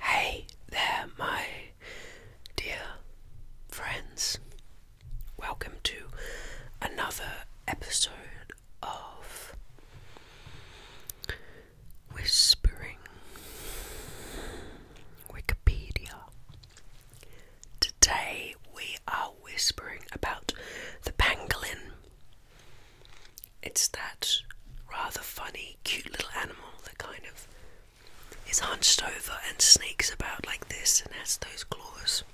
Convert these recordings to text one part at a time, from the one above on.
Hey there, my dear friends. Welcome to another episode of Whispering Wikipedia. Today we are whispering about the pangolin. It's that rather funny, cute little animal that kind of is hunched over and sneaks about like this and has those claws.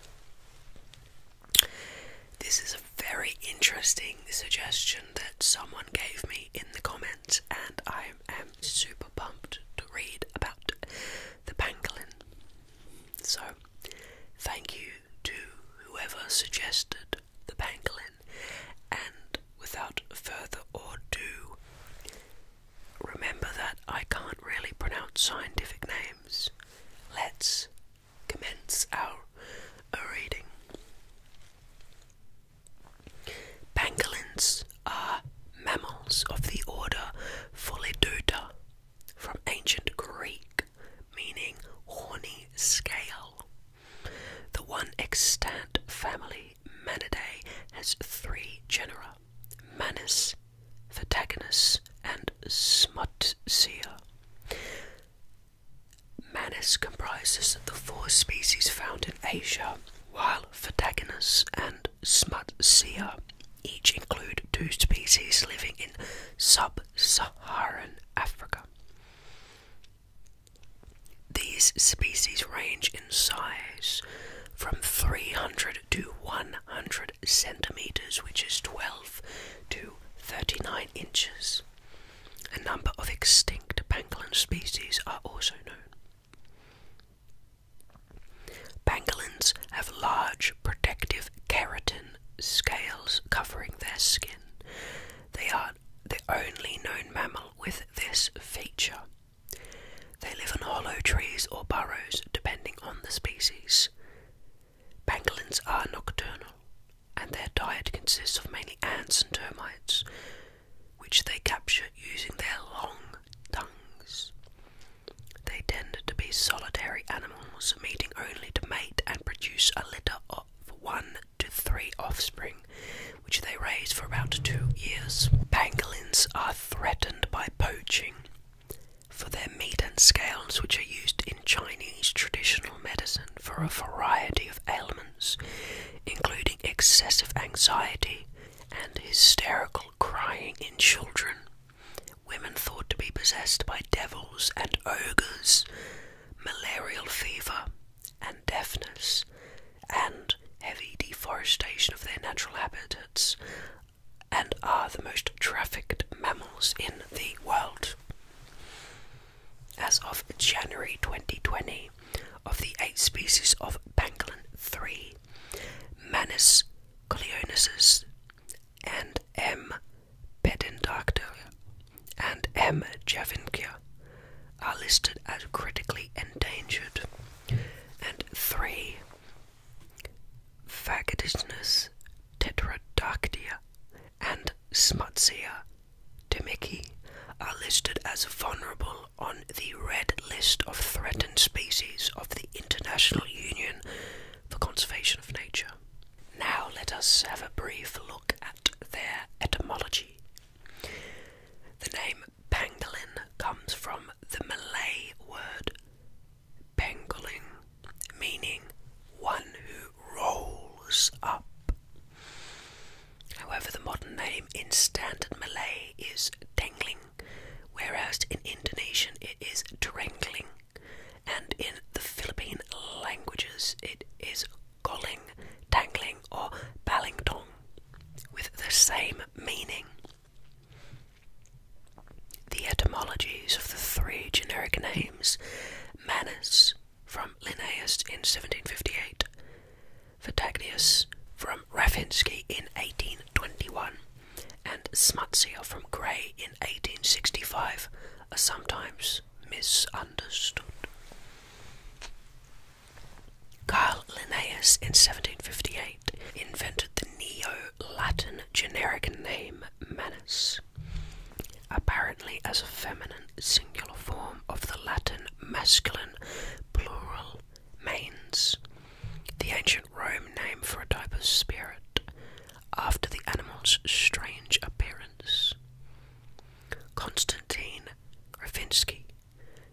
This is a very interesting suggestion that someone gave me in the comments, and I am super pumped to read about the pangolin. So, thank you to whoever suggested the pangolin and without further ado, remember that I can't really pronounce scientific names. Let's commence our reading. Pangolins are mammals of the order Pholedoda from ancient Greek, meaning horny scale. The one extant family, Manidae, has three genera Manis, Vatagonus, and Smutsia. Manis comprises the four species found in Asia, while Vatagonus and Smutsia each include two species living in sub Saharan Africa. These species range in size from 300 to 100 centimeters, which is 12 to 39 inches. A number of extinct pangolin species are also known. Pangolins have large protective keratin scales covering their skin. They are the only known mammal with this feature. They live in hollow trees or burrows, depending on the species. Pangolins are nocturnal, and their diet consists of mainly ants and termites, which they capture using their long tongues. They tend to be solitary animals, meeting only to mate and produce a litter of one to three offspring, which they raise for about two years. Pangolins are threatened by poaching for their meat and scales, which are used in Chinese traditional medicine for a variety of ailments, including excessive anxiety and hysterical crying in children. Women thought to be possessed by devils and ogres, malarial fever, and deafness and heavy deforestation of their natural habitats and are the most trafficked mammals in the world. As of January 2020, of the eight species of pangolin, three, Manus coleonesis and M. Bedin Doctor, and M. Javinkia are listed as critically endangered, and three Fagotinus tetradactya and Smutsia dimiki are listed as vulnerable on the Red List of Threatened Species of the International Union for Conservation of Nature. Now let us have a brief look at their etymology. The name pangolin comes from the Malay word pengaling, meaning one who rolls up. However, the modern name in standard Malay is tengling, whereas in Indonesian it is terengling, and in the Philippine languages it is golling, dangling, or ballingtong, with the same meaning. The etymologies of the three generic names Manus from Linnaeus in 1758, Vitagnus from Rafinsky in 1821, and Smutsia from Gray in 1865 are sometimes misunderstood. Carl Linnaeus in 1758 invented the Neo-Latin generic name manus, apparently as a feminine singular form of the Latin masculine plural manes, the ancient Rome name for a type of spirit, after the animal's strange appearance. Constantine Ravinsky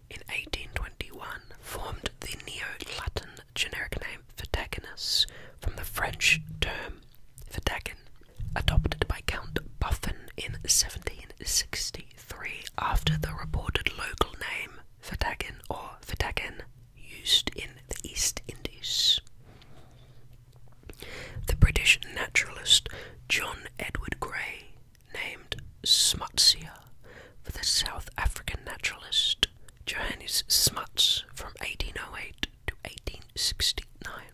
in 1821 formed the Neo-Latin generic name Vitaginus from the French term Vitagen, adopted by Count Buffon in 1763 after the reported local name Vitagen or Vitagen used in the East Indies. The British naturalist John Edward Gray named Smutsia for the South African naturalist Johannes Smuts from 1808 to 1869.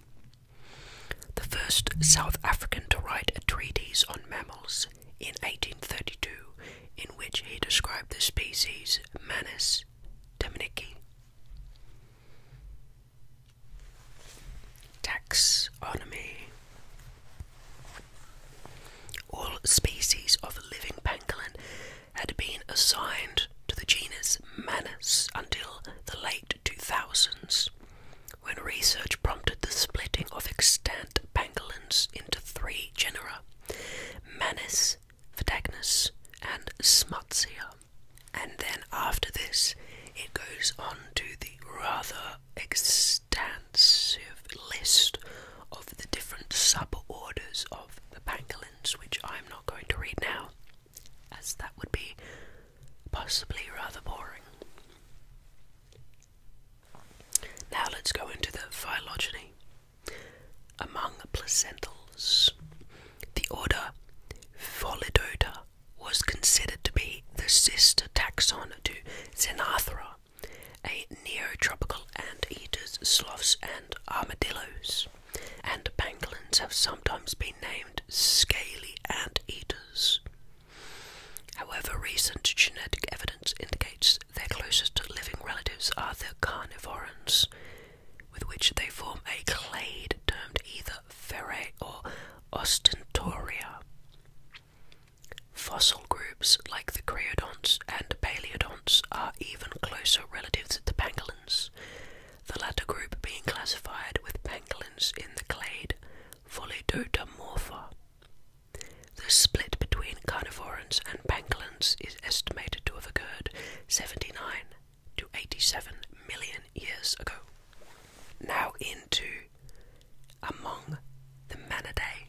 The first South African to write a treatise on mammals in 1832, in which he described the species Manus dominici. Taxonomy All species of living pangolin had been assigned to the genus Manus until the late 2000s, when research prompted the splitting of extant pangolins into three genera Manus, Vitagnus, and Smutsia and then after this, it goes on to the rather extensive list of the different suborders of the pangolins, which I'm not going to read now, as that would be possibly rather boring. Now let's go into the phylogeny. Among the placentals, the order Pholidota was considered to be the sister taxon to Xenarthra, a neotropical ant-eaters, sloths, and armadillos, and pangolins have sometimes been named scaly ant-eaters. However, recent genetic evidence indicates their closest living relatives are the carnivorans, with which they form a clade termed either ferre or ostentoria. Fossil groups like the creodonts and paleodonts are even closer relatives to pangolins, the latter group being classified with pangolins in the clade Volidotomorpha. The split between carnivorans and pangolins is estimated to have occurred 79 to 87 million years ago. Now into among the Manidae.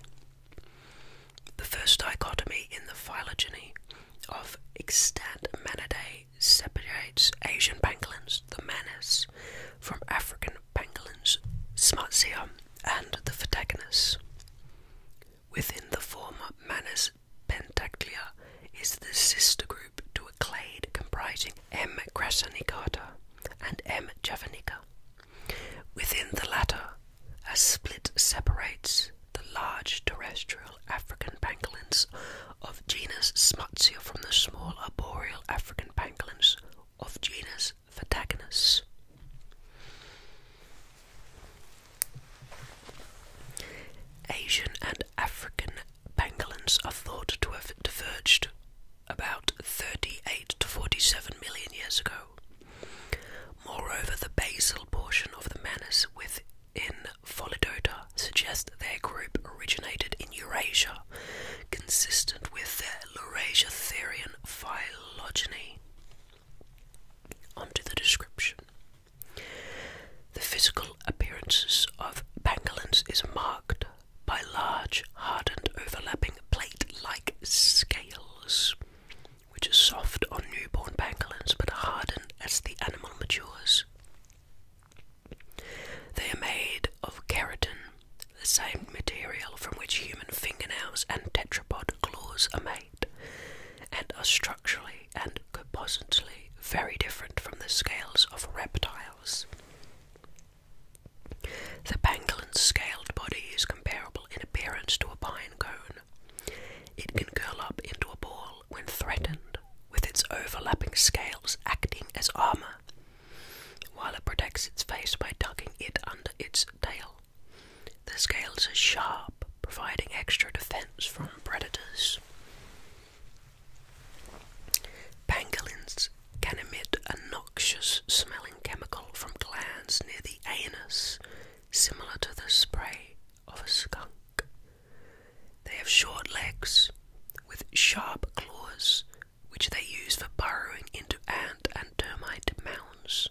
The first dichotomy in the phylogeny of extant Manidae separates Asian pangolins, the manis, from African pangolins, Smartsia, and the Phytagonus. Within the former manis genus is the sister group to a clade comprising M. crassanicata and M. javanica. Within the latter, a split separates the large terrestrial African pangolins of genus Smutsia from the small arboreal African pangolins of genus Vatagonus. Asian and African pangolins are thought to have diverged about 38 to 47 million years ago. Moreover, the basal portion of the manus within Pholidota suggests their group originated in Eurasia, consistent with their Laurasiatherian phylogeny. Onto the description. The physical appearance of pangolins is marked by large, hardened, overlapping plate-like scales, which are soft on newborn pangolins but harden as the animal matures. They are made of keratin, the same material from which human fingernails and tetrapod claws are made and are structurally and compositally very different from the scales of reptiles. The pangolin's scaled body is comparable in appearance to a pine cone. It can curl up into a ball when threatened, with its overlapping scales acting as armor, while it protects its face by tucking it under its tail. The scales are sharp, providing extra defense from predators. Pangolins can emit a noxious smelling chemical from glands near the anus, similar to the spray of a skunk. They have short legs with sharp claws, which they use for burrowing into ant and termite mounds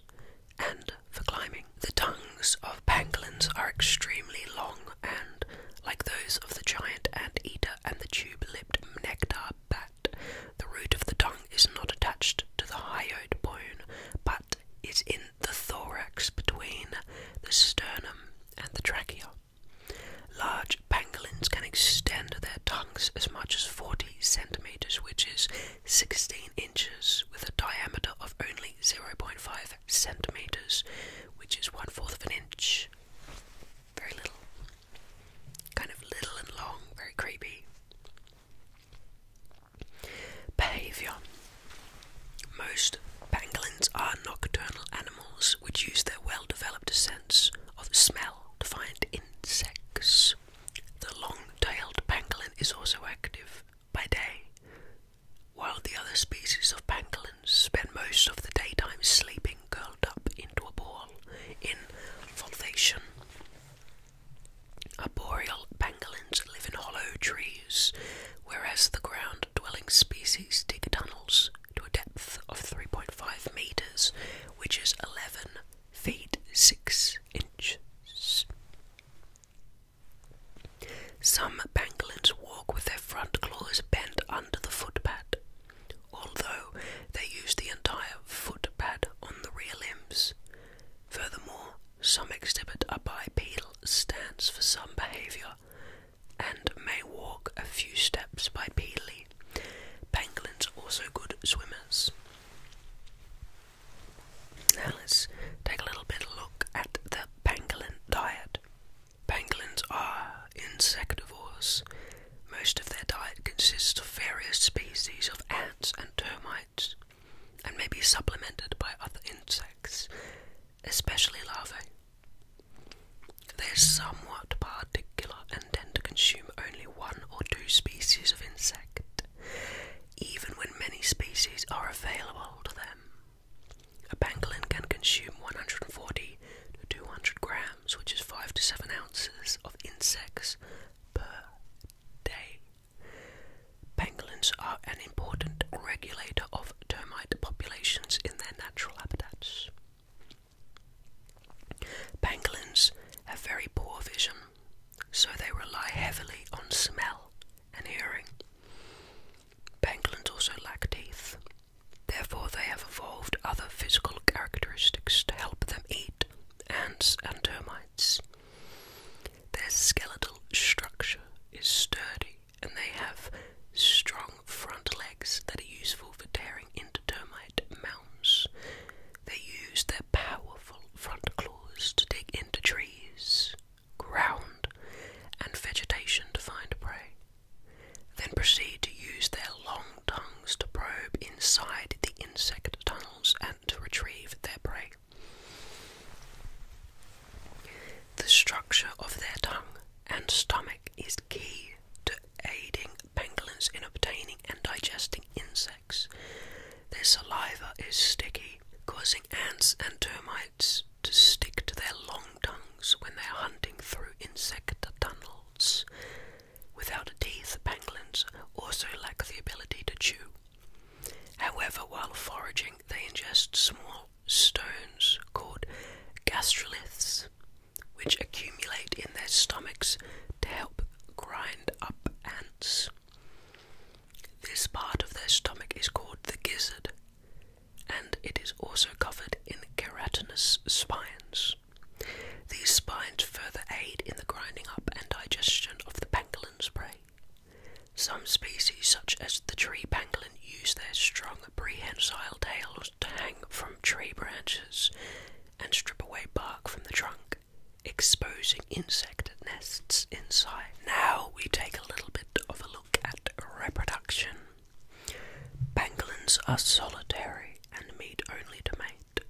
and for climbing. The tongues of pangolins are extremely long and, like those of the giant anteater and the tube-lipped nectar bat, the root of the tongue is not attached to the hyoid bone, but is in the thorax between the sternum and the trachea. Large pangolins can extend their tongues as much as 40 centimeters, which is 16 inches, with a diameter of only 0.5 centimeters, which is one fourth of an inch. Very little. Kind of little and long, very creepy. Behaviour. Most pangolins are nocturnal animals which use their well developed sense of smell to find insects. The long tailed pangolin is also active by day, while the other species of pangolins spend most of the daytime sleeping curled up into a ball in voltation, arboreal pangolins live in hollow trees, whereas the ground dwelling species dig tunnels to a depth of 3.5 meters, which is 11 feet 6 inches. Some pangolins walk with their front claws bent under the footpad, although they use the entire footpad on the rear limbs. Furthermore, some exhibit a bipedal stance for some behavior and may walk a few steps bipedally. Pangolins are also good swimmers. Now let's take a little bit look at the pangolin diet. Pangolins are insectivores. Most of their diet consists of various species of ants and termites, and may be supplemented by other insects, especially larvae. They're somewhat particular and tend to consume only one or two species of insect, even when many species are available to them. A pangolin can consume 140 to 200 grams, which is 5 to 7 ounces of insects per day. Pangolins are an important regulator of termite populations in their natural habitats. Pangolins have very poor vision, so they rely heavily on smell and hearing. Pangolins also lack teeth. Therefore, they have evolved other physical characteristics to help them eat ants and termites. Their skeletal structure is sturdy and they have strong front legs that are useful for tearing into termite mounds. They use their powerful front claws to dig into trees, ground, and vegetation to find prey, then proceed to use their long tongues to probe inside the insect tunnels and to retrieve their prey. The structure of their tongue and stomach is key to aiding pangolins in obtaining and digesting insects. Their saliva is sticky causing ants and termites to stick to their long tongues when they are hunting through insect tunnels. Without teeth, pangolins also lack the ability to chew. However, while foraging, they ingest small stones called gastroliths, which accumulate in their stomachs to help grind up ants. This part of their stomach is called the gizzard, and it is also covered in keratinous spines. These spines further aid in the grinding up and digestion of the pangolin's prey. Some species, such as the tree pangolin, use their strong prehensile tails to hang from tree branches and strip away bark from the trunk exposing insect nests inside. Now we take a little bit of a look at reproduction. Pangolins are solitary and meet only to mate.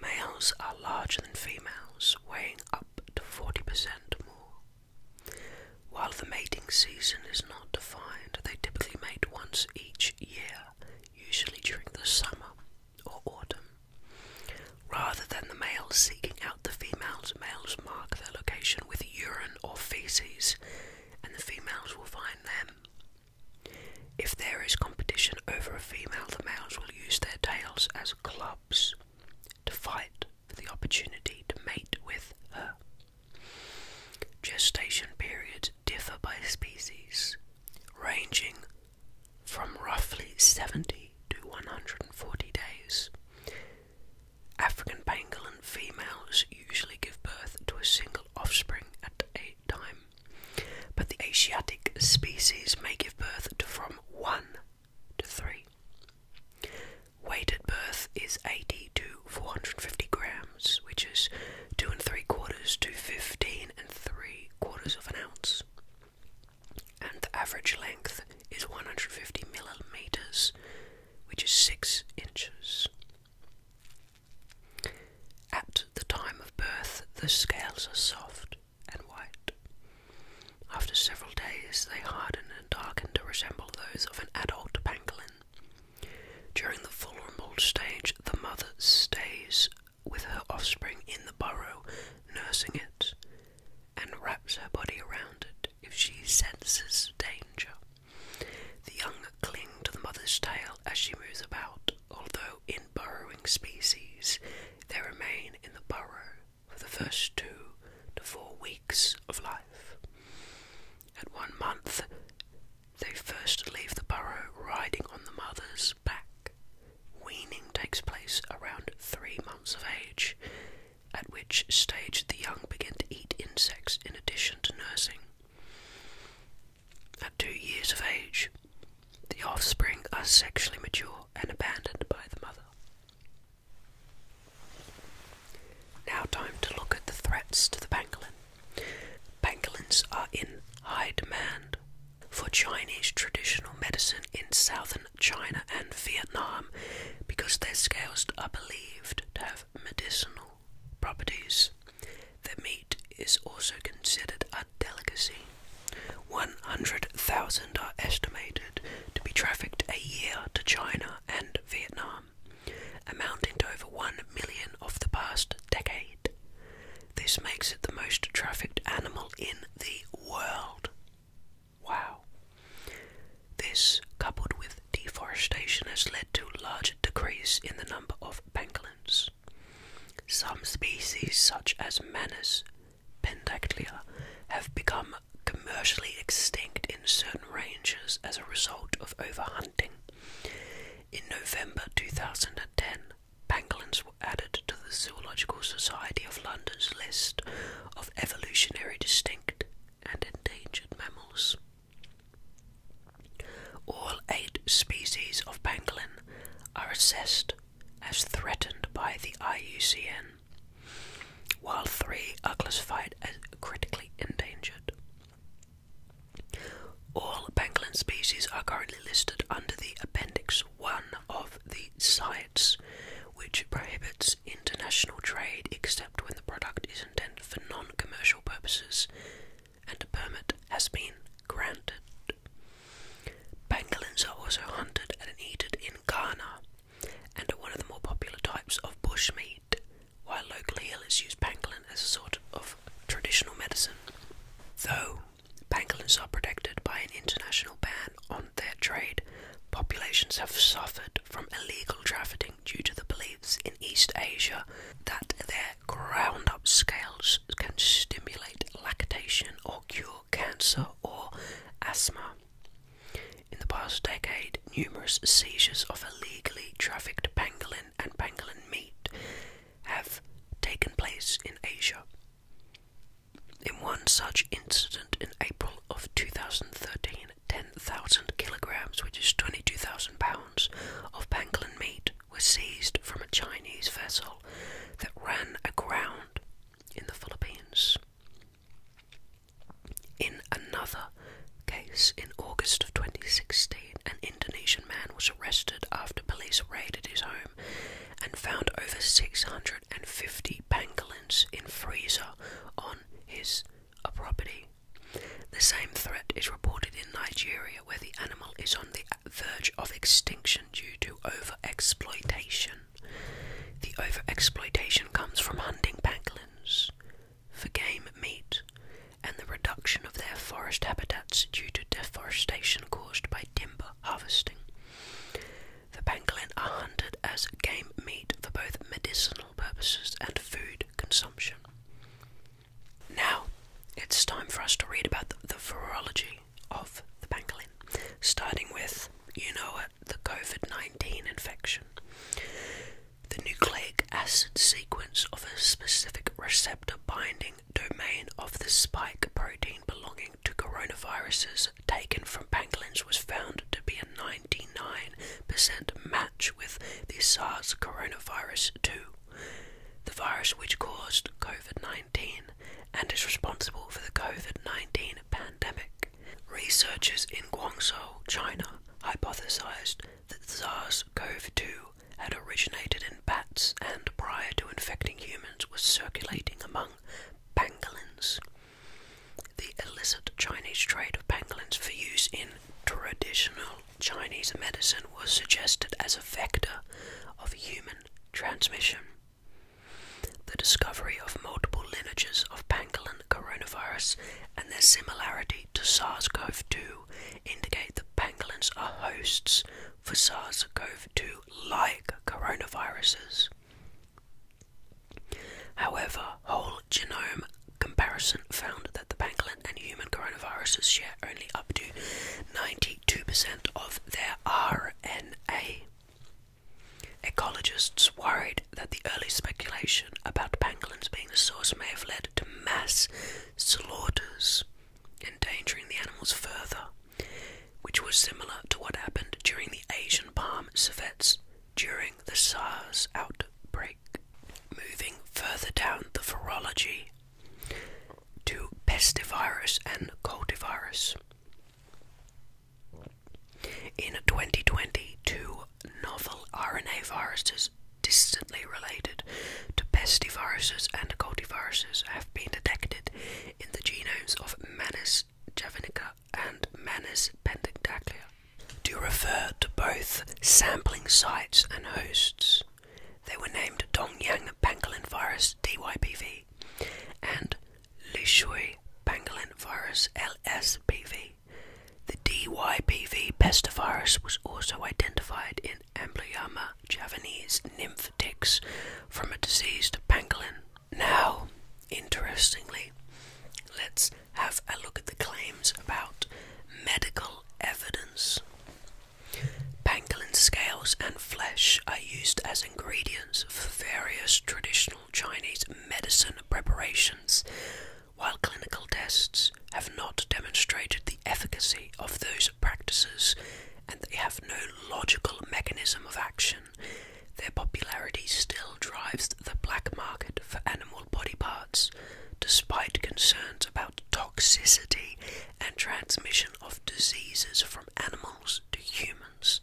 Males are larger than females, weighing up to 40% more. While the mating season is not defined, they typically mate once each year, usually during the summer or autumn. Rather than the males seeking out the females, males mark their location with urine or feces, and the females will find them. If there is competition over a female, the males will use their tails as clubs to fight for the opportunity to mate with her. Gestation periods differ by species, ranging from roughly 70 to 140 days. African pangolin females usually give birth to a single offspring at a time, but the Asiatic species may give birth to from 1 to 3. Weight at birth is 80 to 450 grams, which is 2 and 3 quarters to 15 and 3 quarters of an ounce and the average length is 150 millimeters, which is 6 inches. At the time of birth, the scales are soft and white. After several days, they harden and darken to resemble those of an adult pangolin. During the full vulnerable stage, the mother stays with her offspring in the burrow, nursing it, and wraps her body around it if she senses danger. The young cling to the mother's tail as she moves about, although in burrowing species they remain in the burrow for the first two to four weeks of life. At one month, they first leave the burrow riding on the mother's back. Weaning takes place around three months of age, at which stage the young begin to eat insects in addition to nursing. At two years of age, the offspring are sexually mature and abandoned by the mother. Now, time to look at the threats to the pangolin. Pangolins are in high demand for Chinese traditional medicine in southern China and Vietnam because their scales are believed to have medicinal properties. their meat is also considered a delicacy. 100,000 are estimated to be trafficked a year to China and Vietnam, amounting to over 1 million of the past decade. This makes it the most trafficked animal in the world. Wow. This, coupled with deforestation, has led to large decrease in the number of pangolins. Some species, such as Manus pentaclia, have become commercially extinct in certain ranges as a result of overhunting. In November 2010, Pangolins were added to the Zoological Society of London's list of evolutionary distinct and endangered mammals. All eight species of pangolin are assessed as threatened by the IUCN, while three are classified as critically endangered. All pangolin species are currently listed under the Appendix one of the sites which prohibits international trade except when the product is intended for non commercial purposes and a permit has been granted. Pangolins are also hunted and eaten in Ghana and are one of the more popular types of bushmeat, while locally illers use pangolin as a sort of traditional medicine. Though Pangolins are protected by an international ban on their trade. Populations have suffered from illegal trafficking due to the beliefs in East Asia that their ground up scales can stimulate lactation or cure cancer or asthma. In the past decade, numerous seizures of illegally trafficked pangolin and pangolin meat have taken place in Asia. In one such incident in April of 2013, 10,000 kilograms, which is 22,000 pounds, of pangolin meat was seized from a Chinese vessel that ran aground in the Philippines. In another case, in August of 2016, an Indonesian man was arrested after police raided his home and found over 650 pangolins in freezer on his uh, property. The same threat is reported in Nigeria, where the animal is on the verge of extinction due to overexploitation. The overexploitation comes from hunting pangolins for game meat and the reduction of their forest habitats due to deforestation caused by timber harvesting. The pangolin are hunted as game meat for both medicinal purposes and food consumption. Now, it's time for us to read about the, virology of the pangolin, starting with, you know the COVID 19 infection. The nucleic acid sequence of a specific receptor binding domain of the spike protein belonging to coronaviruses taken from pangolins was found to be a 99% match with the SARS coronavirus 2, the virus which caused COVID 19 and is responsible for the COVID 19 pandemic. Researchers in Guangzhou, China, hypothesized that SARS CoV 2 had originated in bats and prior to infecting humans was circulating among pangolins. The illicit Chinese trade of pangolins for use in traditional Chinese medicine was suggested as a factor of human transmission. The discovery of multiple lineages of pangolin coronavirus and their similarity to SARS CoV 2 indicate that pangolins are hosts for SARS CoV 2 like coronaviruses. However, whole genome comparison found that the pangolin and human coronaviruses share only up to 92% of their RNA. Ecologists worried that the early speculation about pangolins being the source may have led to mass slaughters, endangering the animals further which was similar to what happened during the Asian palm savets during the SARS outbreak. Moving further down the virology to pestivirus and cultivirus. In twenty twenty two, novel RNA viruses distantly related to pestiviruses and cultiviruses been detected in the genomes of Manus javenica and Manus pentadaclea. To refer to both sampling sites and hosts, they were named Dongyang pangolin virus DYPV and Lishui pangolin virus LSPV. The DYPV pestivirus was also identified in Amblyomma javanese nymph ticks from a diseased pangolin. Now, interestingly, let's have a look at the claims about medical evidence. Pangolin scales and flesh are used as ingredients for various traditional Chinese medicine preparations, while clinical tests have not demonstrated the efficacy of those practices and they have no logical mechanism of action, their popularity still drives the black market for animal body parts, despite concerns about toxicity and transmission of diseases from animals to humans.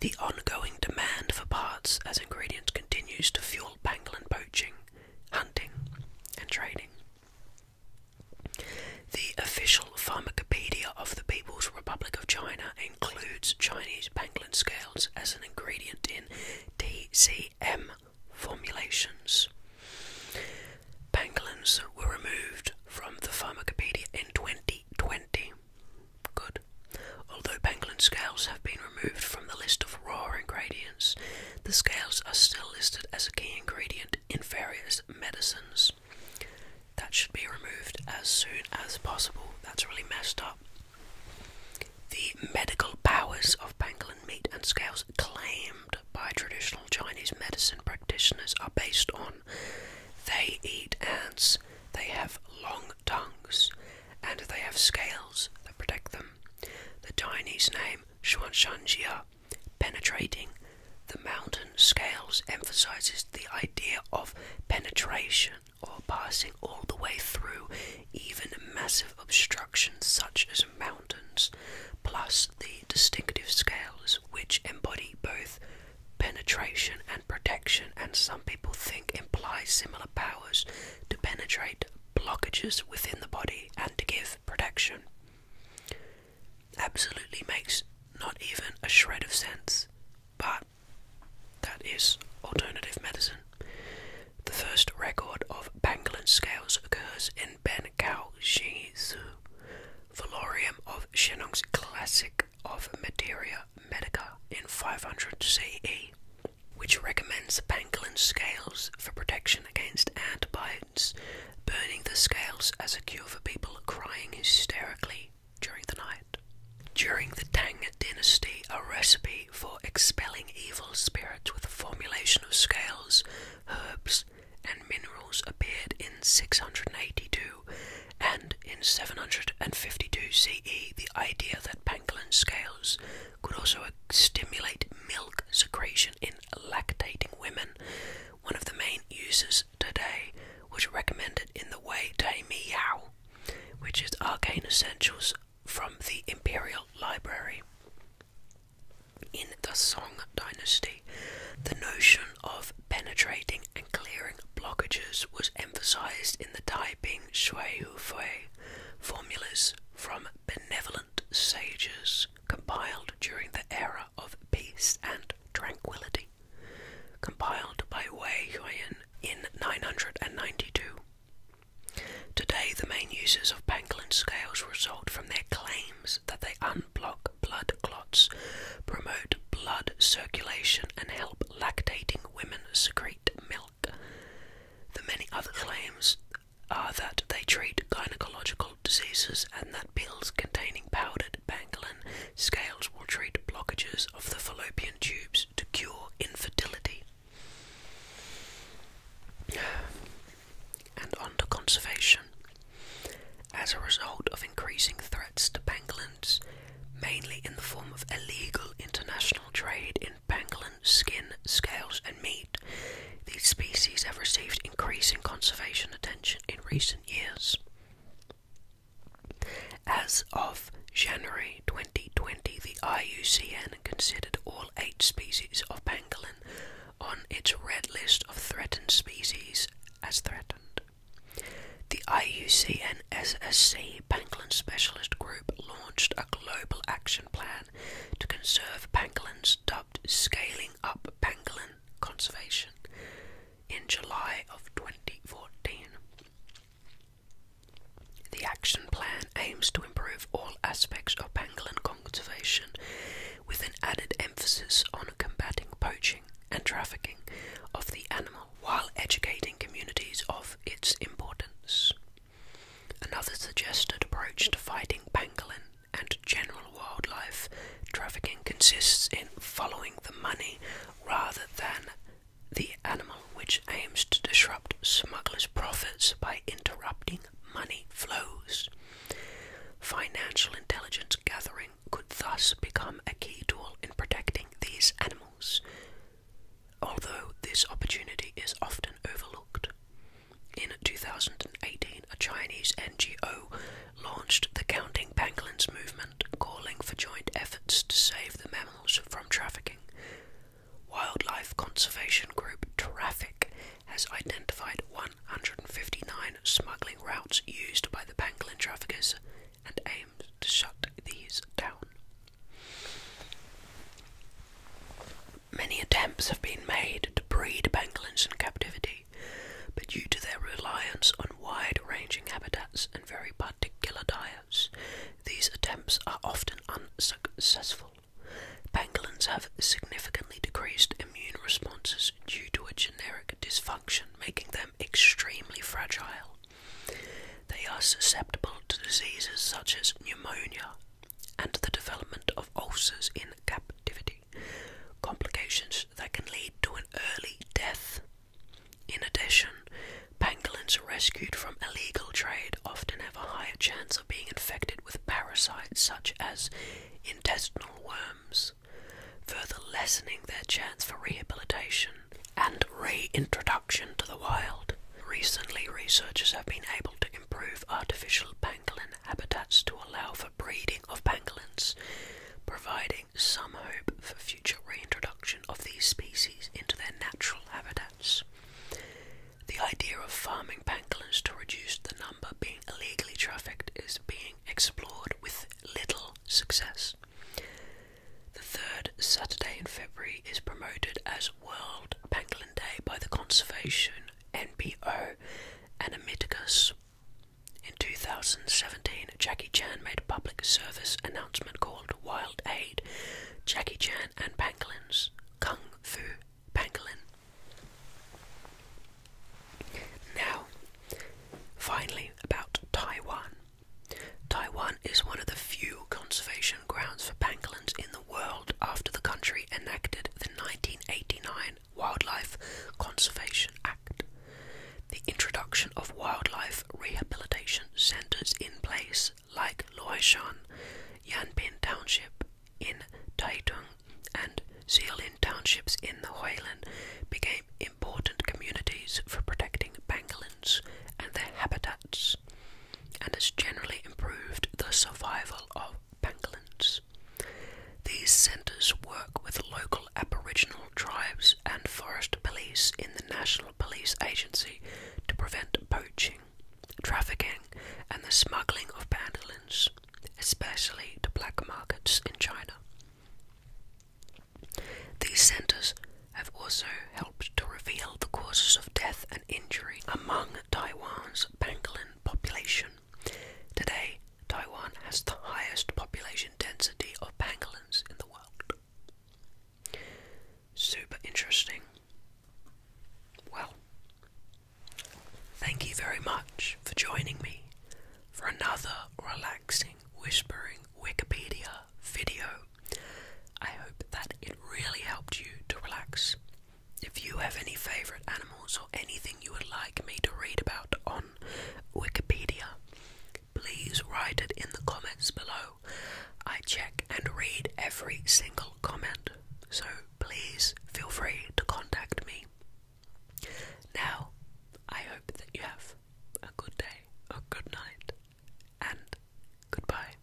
The ongoing demand for parts as ingredients continues to fuel pangolin poaching, hunting, and trading. The official pharmacopedia of the People's Republic of China includes Chinese pangolin scales as an ingredient in DCM formulations. Pangolins were removed from the pharmacopedia in 2020. Good. Although pangolin scales have been removed from the list of raw ingredients, the scales are still listed as a key ingredient in various medicines. That should be removed as soon as possible. That's really messed up. The medical powers of pangolin meat and scales claimed by traditional Chinese medicine practitioners are based on they eat ants, they have long tongues, and they have scales that protect them. The Chinese name Xuanxianjia Penetrating the mountain scales emphasizes the idea of penetration or passing all the way through even massive obstructions such as mountains, plus the distinctive scales which embody both penetration and protection, and some people think imply similar powers to penetrate blockages within the body and to give protection absolutely makes not even a shred of sense, but that is alternative medicine. The first record of Pangolin scales occurs in Ben Kao Xingyizu, Valorium of Shenong's Classic of Materia Medica in 500 CE, which recommends pangolin scales for protection action against antibiotics, burning the scales as a cure for people crying hysterically during the night. During the Tang dynasty, a recipe for expelling evil spirits with a formulation of scales, herbs, and minerals appeared in 682, and in 752 CE, the idea that pangolin scales could also stimulate milk secretion in lactating women. One of the main uses today was recommended in the Wei Te Miao, which is arcane essentials from the Imperial Library. In the Song Dynasty, the notion of penetrating and clearing blockages was emphasized in the Taiping Shui Hu Fui formulas from benevolent sages compiled during the era of peace and tranquility, compiled by Wei Yuan in 992. Today, the main uses of Panklin scales result from their claims that they unblock blood clots, promote blood circulation, and help lactating women secrete milk. The many other claims are that they treat gynecological diseases and that pills containing powdered bangalan scales will treat blockages of the fallopian tubes to cure infertility. And on conservation. As a result of increasing threats to bangalans, mainly in the form of illegal international trade in bangalan skin, scales, and meat. These species have received increasing conservation attention in recent years. As of January 2020, the IUCN considered all eight species of pangolin on its red list of threatened species as threatened. The IUCN SSC Pangolin Specialist Group launched a global action plan to conserve pangolins dubbed Scaling Up Pangolin Conservation in July of 2014. The action plan aims to improve all aspects of pangolin conservation with an added emphasis on combating poaching and trafficking of the animal while educating communities of its importance. Another suggested approach to fighting pangolin and general wildlife trafficking consists in following the money rather than the animal, which aims to disrupt smugglers' profits by interrupting money flows. Financial intelligence gathering could thus become a key tool in protecting these animals, although this opportunity is often overlooked. In 2018, a Chinese NGO launched the Counting Pangolins movement, calling for joint efforts to save the mammals from trafficking. Wildlife conservation group Traffic has identified 159 smuggling routes used by the pangolin traffickers and aims to shut these down. Many attempts have been made to breed pangolins in captivity, but due to their reliance on wide ranging habitats and very particular diets, these attempts are often unsuccessful. Pangolins have significantly decreased immune responses due to a generic dysfunction, making them extremely fragile. They are susceptible to diseases such as pneumonia, and the development of ulcers in captivity, complications that can lead to an early death. In addition, pangolins rescued from illegal trade often have a higher chance of being infected with parasites such as intestinal worms, further lessening their chance for rehabilitation and reintroduction to the wild. Recently, researchers have been able to improve artificial pangolins pangolin habitats to allow for breeding of pangolins, providing some hope for future reintroduction of these species into their natural habitats. The idea of farming pangolins to reduce the number being illegally trafficked is being explored with little success. The third Saturday in February is promoted as World Pangolin Day by the Conservation NPO, and Amicus. In 2017, Jackie Chan made a public service announcement called Wild Aid Jackie Chan and Pangolin's Kung Fu Pangolin. Now, finally, about Taiwan. Taiwan is one of the few conservation grounds for pangolins in the world after the country enacted the 1989 Wildlife Conservation Act. The introduction of wildlife rehabilitation centres in place like Luoshan, Yanping Township in Taitung, and Xiolin Townships in the Huilin became important communities for protecting pangolins and their habitats and has generally improved the survival of pangolins. These centres work with local Aboriginal tribes and forest police in the National Police Agency to prevent poaching, trafficking, and the smuggling of pangolins, especially to black markets in China. These centres have also helped to reveal the causes of death injury among Taiwan's Banglan population. Today, Taiwan has the highest population density of pangolins in the world. Super interesting. Well, thank you very much for joining me for another relaxing, whispering Wikipedia video. I hope that it really helped you to relax if you have any favorite animals or anything you would like me to read about on Wikipedia, please write it in the comments below. I check and read every single comment, so please feel free to contact me. Now, I hope that you have a good day, a good night, and goodbye.